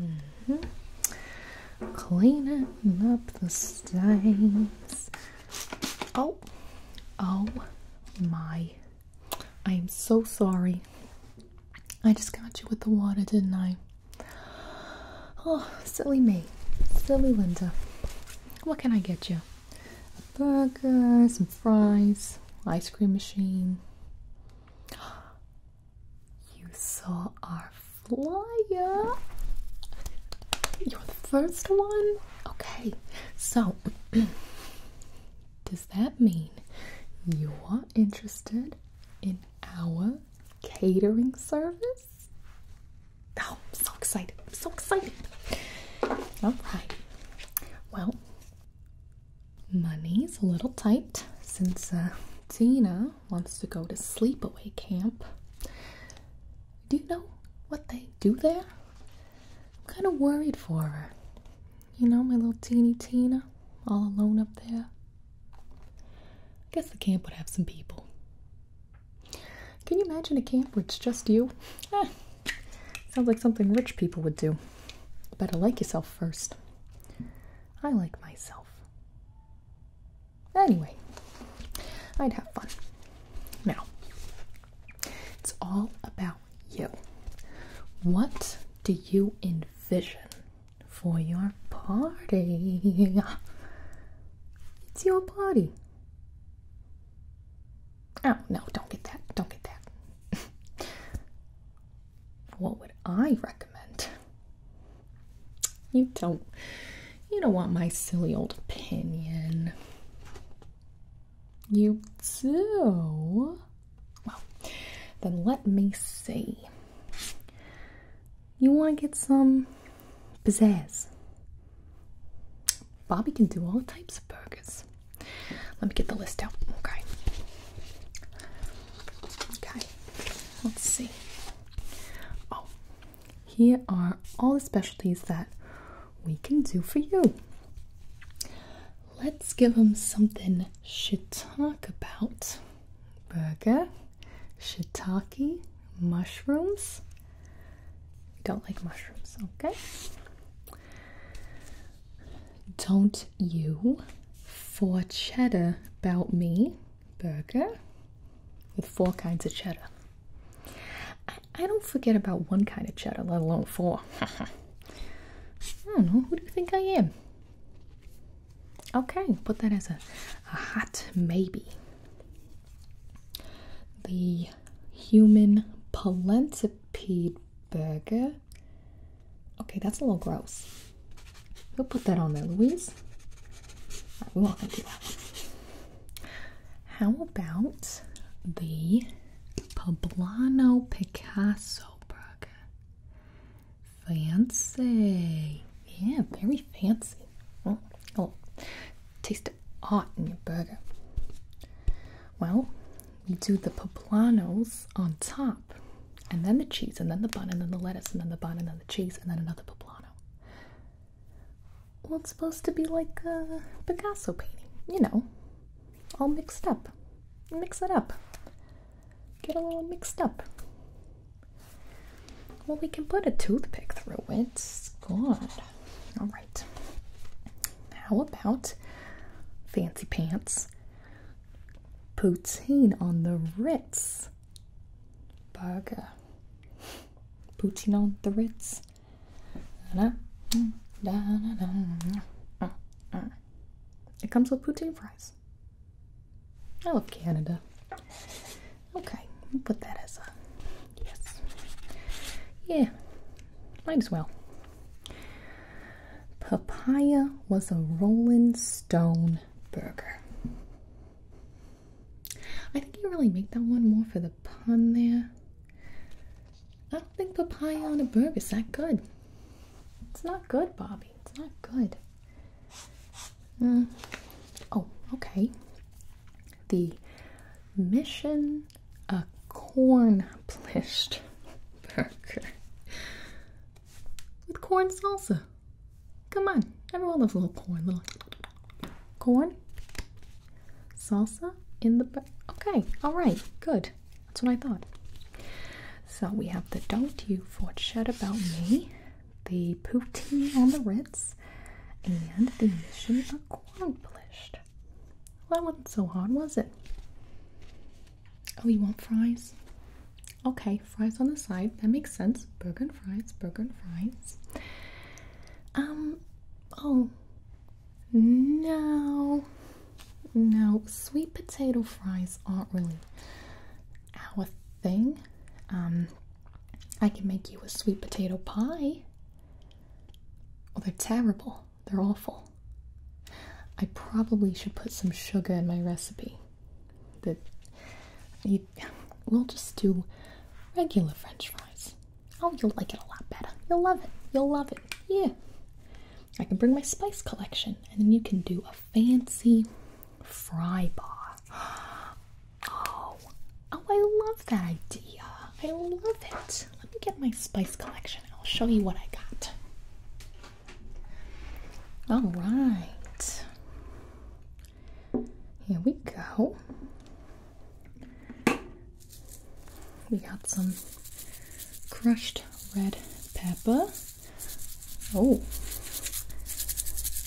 Mm Cleaning up the stains. Oh, oh my. I am so sorry. I just got you with the water, didn't I? Oh, silly me. Silly Linda. What can I get you? A burger, some fries, ice cream machine. You saw our flyer. You're the first one? Okay, so does that mean you are interested in our catering service? Oh, I'm so excited. I'm so excited. All right. Well, Money's a little tight since uh, Tina wants to go to sleepaway camp. Do you know what they do there? I'm kind of worried for her. You know, my little teeny Tina, all alone up there. I guess the camp would have some people. Can you imagine a camp where it's just you? Eh, sounds like something rich people would do. better like yourself first. I like myself. Anyway, I'd have fun. Now, it's all about you. What do you envision for your party? It's your party. Oh, no, don't get that. Don't get that. what would I recommend? You don't you don't want my silly old opinion. You do. Well, then let me see. You want to get some pizzazz? Bobby can do all types of burgers. Let me get the list out, okay? Okay, let's see. Oh, here are all the specialties that we can do for you. Let's give him something talk about. Burger, shiitake, mushrooms. Don't like mushrooms, okay? Don't you for cheddar about me burger with four kinds of cheddar. I, don't forget about one kind of cheddar, let alone four. who do you think I am? Okay, put that as a, hot maybe. The human palentipede burger Okay, that's a little gross. Who put that on there, Louise? right, we're not do that. How about the Poblano Picasso burger? Fancy. Yeah, very fancy. Oh, oh, taste of art in your burger. Well, you do the poblanos on top, and then the cheese, and then the bun, and then the lettuce, and then the bun, and then the cheese, and then another poblano. Well, it's supposed to be like a Picasso painting, you know, all mixed up. Mix it up. Get a little mixed up. Well, we can put a toothpick through it. Good. All right. How about fancy pants Poutine on the Ritz burger. Poutine on the Ritz. It comes with poutine fries. I love Canada. Okay, put that as a yes. Yeah, might as well. Papaya was a Rolling Stone burger. I think you really make that one more for the pun there. I don't think papaya on a burger is that good. It's not good, Bobby. It's not good. Uh, oh, okay. The Mission a cornplished burger with corn salsa. Come on, everyone loves little corn. Little corn salsa in the burger. okay. All right, good. That's what I thought. So we have the "Don't You Forget About Me," the poutine on the Ritz, and the mission accomplished that wasn't so hard, was it? Oh, you want fries? Okay, fries on the side. That makes sense. Burgen fries, Burgen fries. Um, oh, no, no, sweet potato fries aren't really our thing. Um, I can make you a sweet potato pie. Oh, they're terrible. They're awful. I probably should put some sugar in my recipe. That we'll just do regular French fries. Oh, you'll like it a lot better. You'll love it. You'll love it. Yeah. I can bring my spice collection, and then you can do a fancy fry bar. Oh, oh, I love that idea. I love it. Let me get my spice collection. I'll show you what I got. All right. Here we go. We got some crushed red pepper. Oh,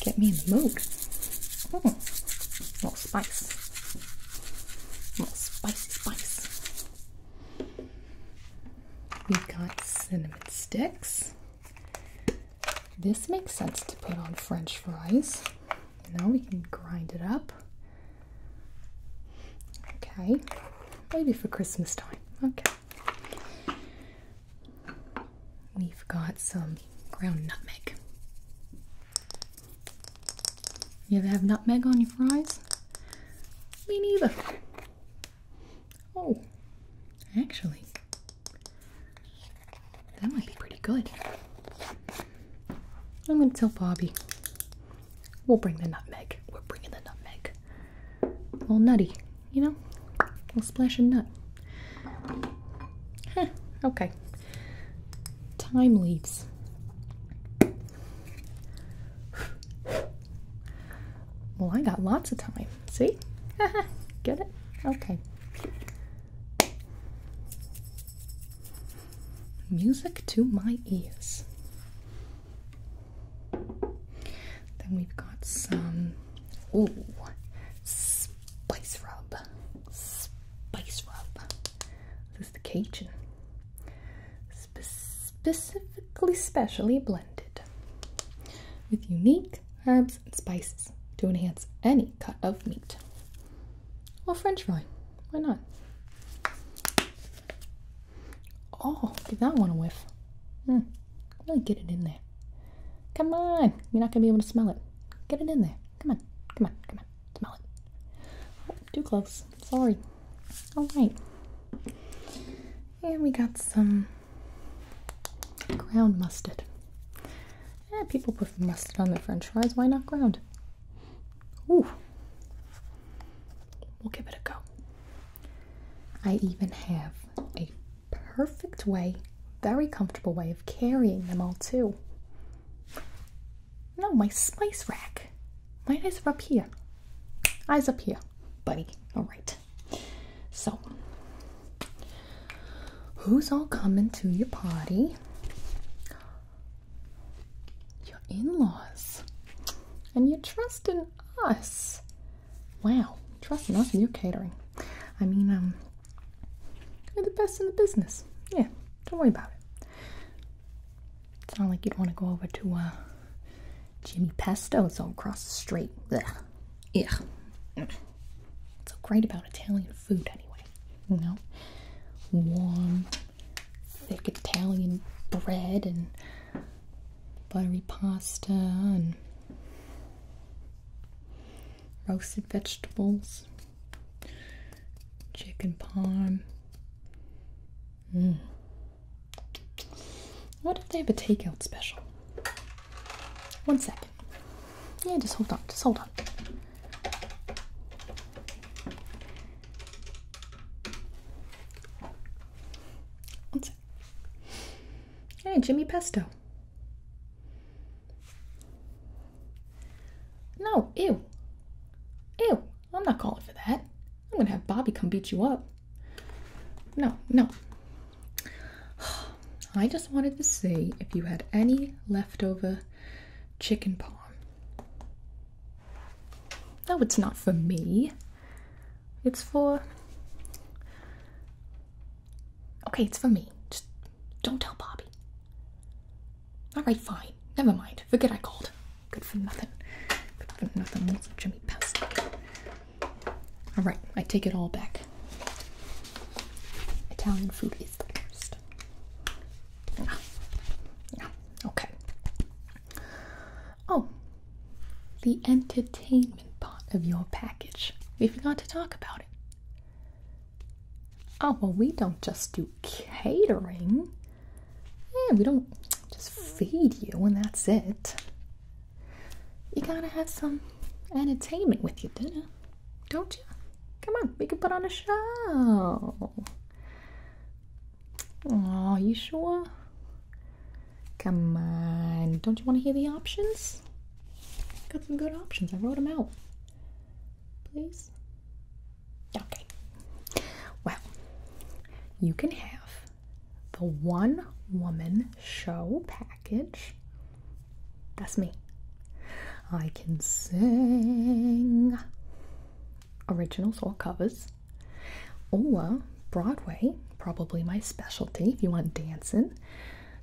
get me in the mood. Oh, more spice. More spicy spice. We've got cinnamon sticks. This makes sense to put on French fries. Now we can grind it up. Okay, maybe for Christmas time. Okay. We've got some ground nutmeg. You ever have nutmeg on your fries? Me neither. Oh, actually, that might be pretty good. I'm gonna tell Bobby. We'll bring the nutmeg. We're bringing the nutmeg. little nutty, you know? We'll splash a nut. okay. Time leaves. Well, I got lots of time. See? Get it? Okay. Music to my ears. Then we've got some. Ooh. Spice rub. Spice rub the Cajun, specifically specially blended with unique herbs and spices to enhance any cut of meat or French fry. Why not? Oh, give that one a whiff. Mm, really get it in there. Come on, you're not gonna be able to smell it. Get it in there. Come on, come on, come on. Smell it. too close. Sorry. Alright. And we got some ground mustard. Eh, people put mustard on their french fries. Why not ground? Ooh. We'll give it a go. I even have a perfect way, very comfortable way of carrying them all too. No, my spice rack. My eyes are up here. Eyes up here, buddy. All right. So, who's all coming to your party? Your in laws. And you trust in us. Wow. Trusting us for your catering. I mean, um, you're the best in the business. Yeah, don't worry about it. It's not like you'd want to go over to uh, Jimmy Pesto. It's all across the street. Ugh. Yeah. What's so great about Italian food, anyway? You know, warm, thick Italian bread and buttery pasta and roasted vegetables chicken parm. Mm. What if they have a takeout special? One second. Yeah, just hold on. Just hold on. Hey, Jimmy Pesto. No, ew. Ew, I'm not calling for that. I'm gonna have Bobby come beat you up. No, no. I just wanted to see if you had any leftover chicken parm. No, it's not for me. It's for. Okay, it's for me. Just don't tell Bobby. Alright, fine. Never mind. Forget I called. Good for nothing. Good for nothing. Jimmy Pass. Alright, I take it all back. Italian food is the best. Yeah. Okay. Oh. The entertainment part of your package. We forgot to talk about it. Oh, well, we don't just do catering. Yeah, we don't just feed you and that's it. You gotta have some entertainment with your dinner, don't you? Come on, we can put on a show. Are you sure? Come on, don't you want to hear the options? Got some good options. I wrote them out please? Okay. Well, you can have the one woman show package. That's me. I can sing originals or covers, or Broadway, probably my specialty. If you want dancing,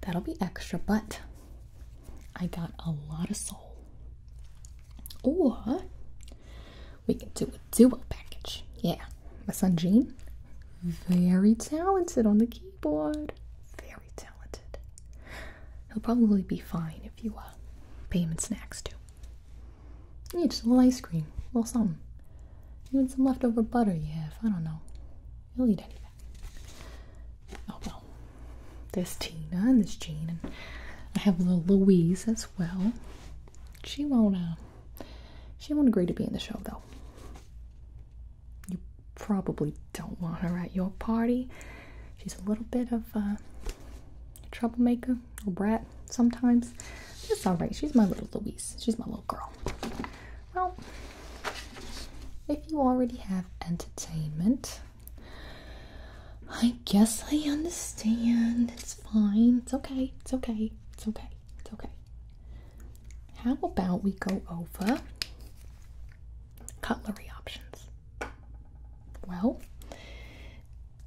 that'll be extra, but I got a lot of soul. Or we can do a duo package. Yeah, my son Jean, very talented on the keyboard. Very talented. He'll probably be fine if you uh, pay him snacks too. Yeah, just a little ice cream, a little something. Even some leftover butter you have. I don't know. You'll eat anything. Oh well. There's Tina and there's Jean, and I have little Louise as well. She won't. Uh, she won't agree to be in the show though. You probably don't want her at your party. She's a little bit of a troublemaker or brat sometimes. It's all right. She's my little Louise. She's my little girl. Well, if you already have entertainment, I guess I understand. It's fine. It's okay. It's okay. It's okay. It's okay. How about we go over cutlery options? Well,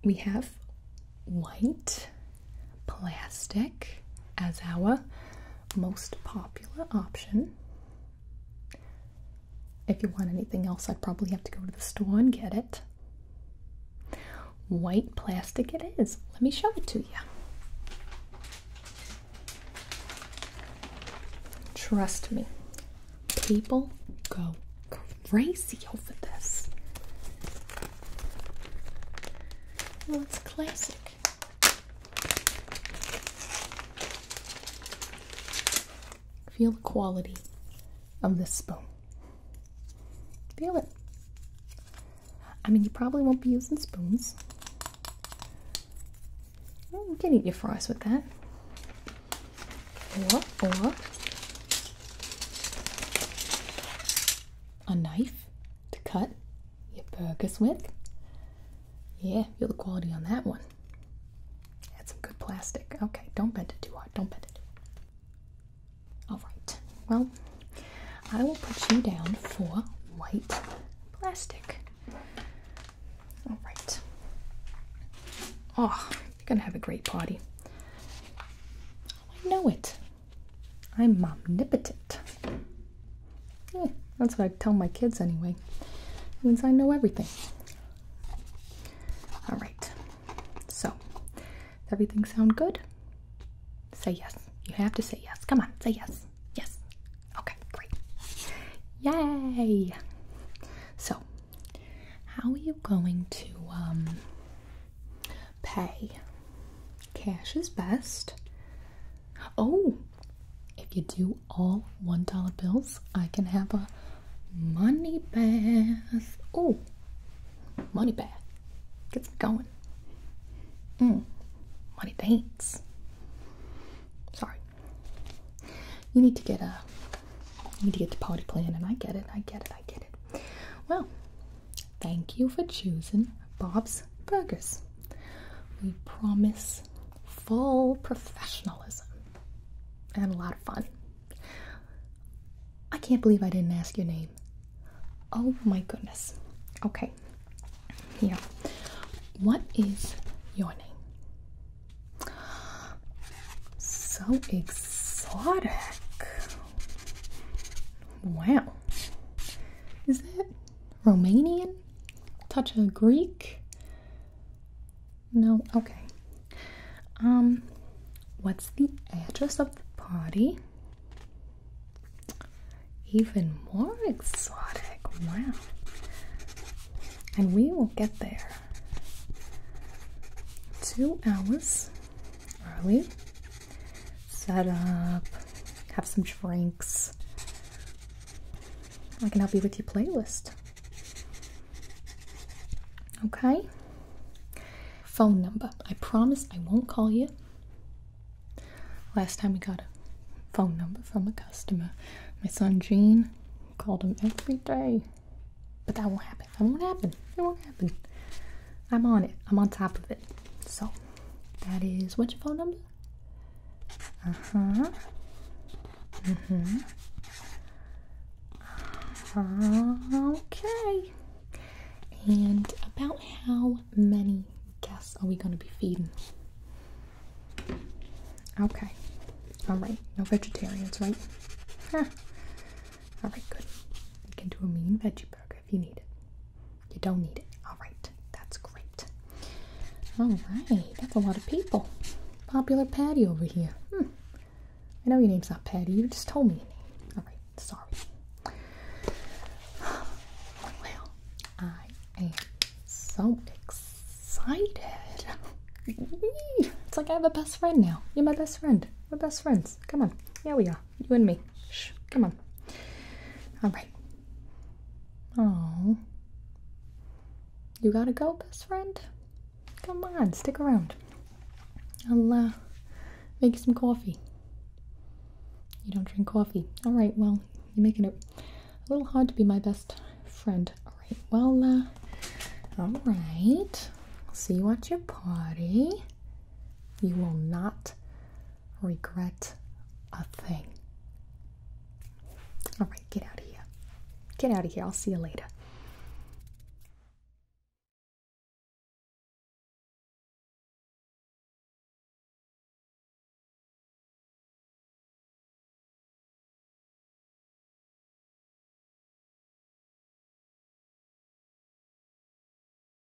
we have white plastic as our most popular option. If you want anything else, I'd probably have to go to the store and get it. White plastic it is. Let me show it to you. Trust me, people go crazy over this. Well, it's classic. Feel the quality of this spoon. Feel it. I mean, you probably won't be using spoons. Can't eat your fries with that. Or, or a knife to cut your burgers with. Yeah, feel the quality on that one. That's some good plastic. Okay, don't bend it too hard. Don't bend it All right. Well, I will put you down for white plastic. All right. Oh, you're going to have a great party. Oh, I know it. I'm omnipotent. Eh, that's what I tell my kids anyway. It means I know everything. All right. So, everything sound good? Say yes. You have to say yes. Come on, say yes. Yes. Okay, great. Yay! So, how are you going to um, pay Cash is best. Oh, if you do all $1 bills, I can have a money bath. Oh, money bath. Gets going. Mm, money paints. Sorry. You need to get a. You need to get the party plan, and I get it. I get it. I get it. Well, thank you for choosing Bob's these burgers. We promise full professionalism and a lot of fun. I can't believe I didn't ask your name. Oh my goodness. Okay. Here. What is your name? So exotic. Wow. Is that Romanian? touch of Greek. No, okay. Um, what's the address of the party? Even more exotic. Wow. And we will get there two hours early set up, have some drinks. I can help you with your playlist. Okay? Phone number. I promise I won't call you. Last time we got a phone number from a customer. My son Jean called him every day. But that won't happen. That won't happen. It won't happen. I'm on it. I'm on top of it. So, that is what's your phone number? Uh-huh. Mm-hmm. Uh-huh. Okay. And about how many guests are we going to be feeding? Okay. All right. No vegetarians, right? All right, good. We can do a mean veggie burger if you need it. You don't need it. All right, that's great. All right, that's a lot of people. Popular Patty over here. Hmm. I know your name's not Patty. You just told me your name. All right, sorry. Well, I am so excited. It's like I have a best friend now. You're my best friend. We're best friends. Come on. Here we are you and me. Shh, come on. All right. Oh, you gotta go, best friend. Come on, stick around. I'll uh, make some coffee. You don't drink coffee. All right. Well, you're making it a little hard to be my best friend. All right. Well, uh, all right. See you at your party. You will not regret a thing. All right, get out of here. Get out of here. I'll see you later.